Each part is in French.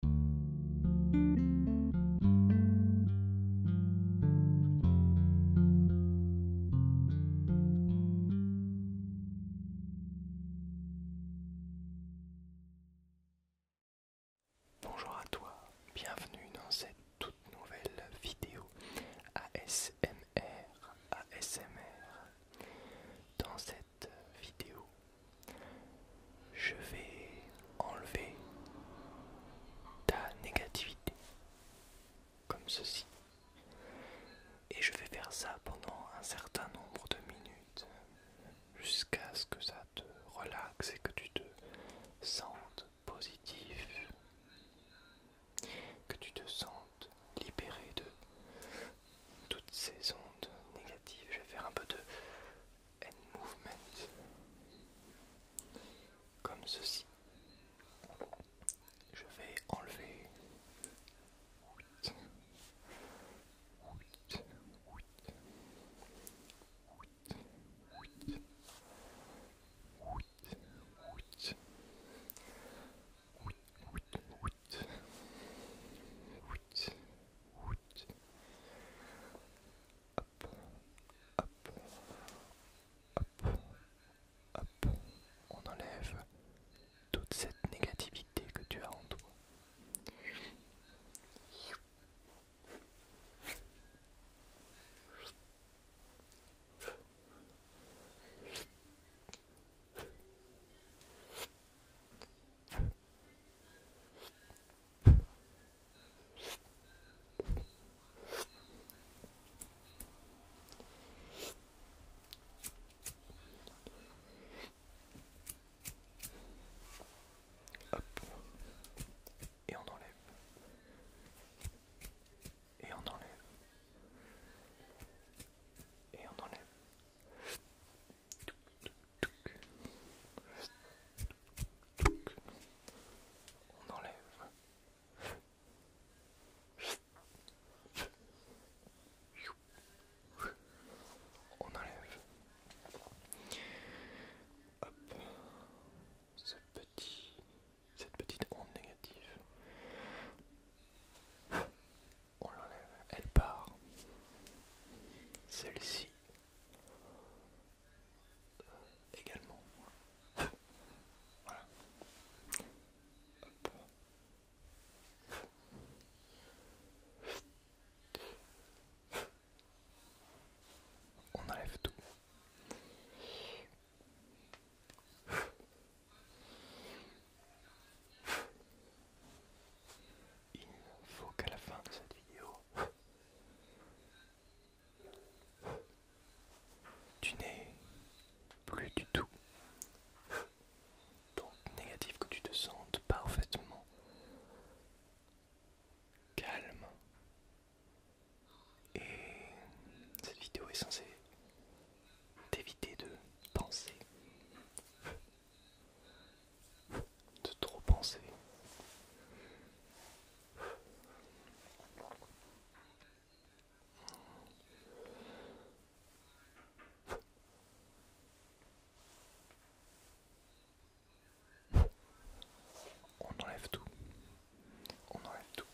Bonjour à toi, bienvenue dans cette toute nouvelle vidéo ASMR ASMR. Dans cette vidéo, je vais enlever ta négativité, comme ceci. Et je vais faire ça pendant un certain nombre de minutes, jusqu'à ce que ça te relaxe et que tu te sentes positif, que tu te sentes libéré de toutes ces ondes négatives. Je vais faire un peu de end movement, comme ceci. Je vais enlever. On enlève toute cette négativité que tu as en toi. Hop. Et on enlève. Et on enlève. Et on enlève. On enlève. On enlève. Hop. Ce petit, cette petite onde négative on l'enlève, elle part. Celle-ci euh, également. voilà. On enlève tout. Il faut qu'à la fin de cette vidéo, tu n'es plus du tout négatif que tu te sentes parfaitement calme. Et cette vidéo est censée d'éviter de penser, de trop penser. On enlève tout. On enlève tout.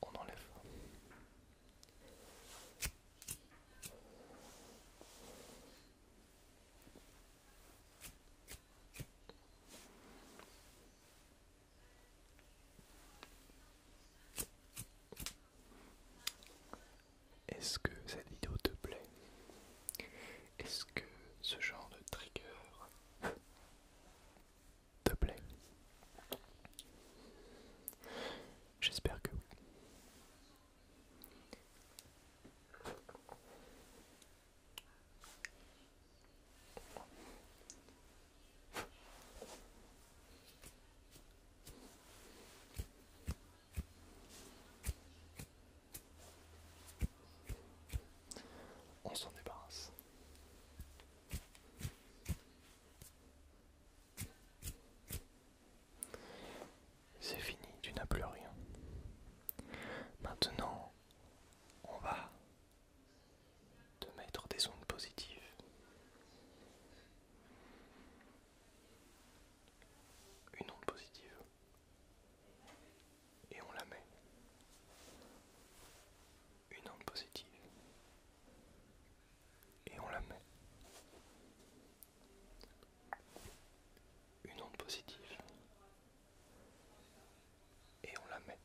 On enlève. Est-ce que cette vidéo te plaît Est-ce que ce genre de trigger te plaît J'espère que oui. On s'en débarrasse. C'est fini, tu n'as plus rien. Maintenant, on va te mettre des ondes positives une onde positive et on la met une onde positive et on la met une onde positive et on la met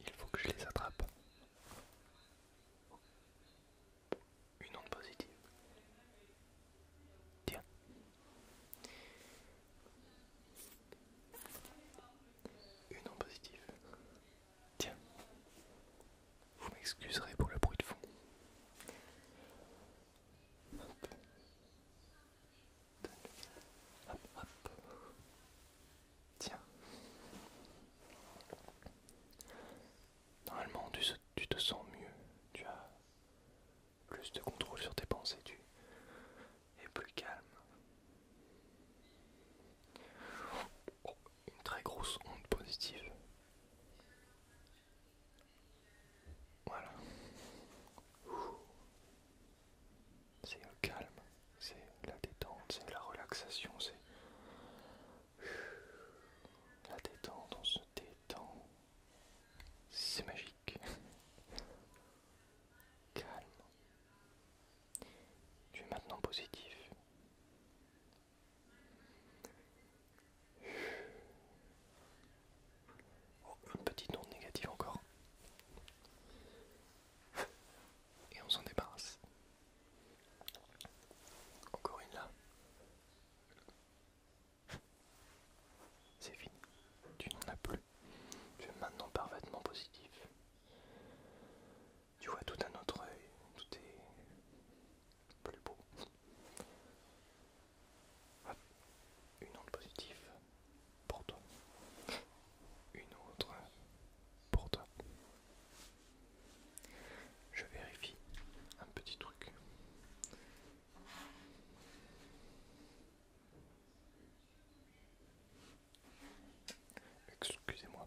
il faut que je les attrape. Une onde positive. Tiens. Une onde positive. Tiens. Vous m'excuserez pour le bruit de fond. Tiens. Normalement, tu, te sens mieux. Tu as plus de contrôle sur tes pensées. Tu es plus calme. une très grosse onde positive. Voilà c'est le calme, c'est la détente, c'est la relaxation, c'est la détente, on se détend, c'est magique. Calme. Tu es maintenant positif. Oh, une petite onde négative encore et on s'en débarrasse. Encore une là. C'est fini. Tu n'en as plus. Tu es maintenant parfaitement positif. Tu vois tout un autre œil. Tout est plus beau. Une onde positive pour Une autre pour toi. Je vérifie un petit truc. Excusez-moi.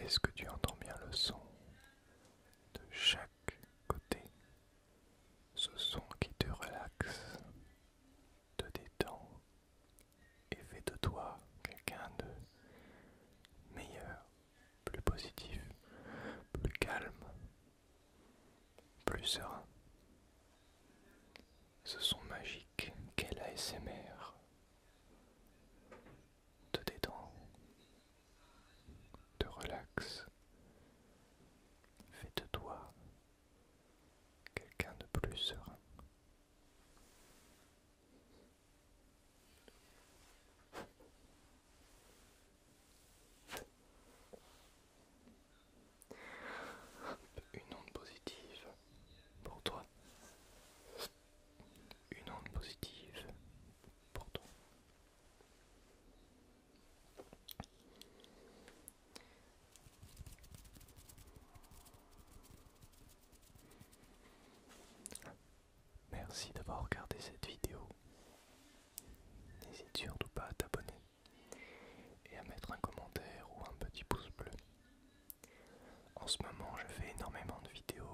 Est-ce que tu entends bien le son de chaque côté? Ce son qui te relaxe, te détends, et fais de toi quelqu'un de meilleur, plus positif, plus calme, plus serein. Ce son magique qu'est ASMR, te détends, te relaxe, fais de toi quelqu'un de plus serein. Une onde positive pour toi. Une onde positive pour toi. Merci d'avoir regardé cette vidéo. N'hésite surtout pas à t'abonner et à mettre un commentaire ou un petit pouce bleu. En ce moment, je fais énormément de vidéos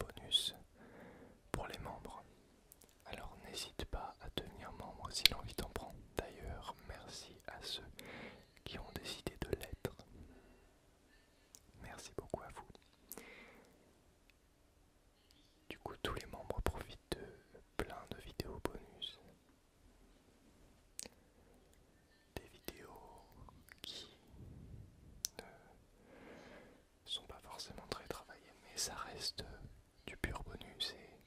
bonus pour les membres. Alors n'hésite pas à devenir membre si l'envie t'en prend. D'ailleurs, merci à ceux qui ont décidé de l'être. Merci beaucoup à vous. Du coup, tous les membres profitent de plein de vidéos bonus. Des vidéos qui ne sont pas forcément très travaillées, mais ça reste du pur bonus et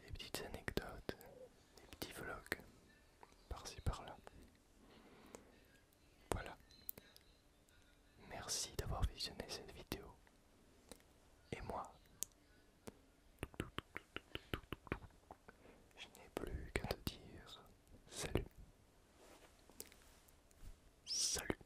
des petites anecdotes, des petits vlogs par-ci par-là. Voilà. Merci d'avoir visionné cette vidéo. Et moi, je n'ai plus qu'à te dire salut. Salut.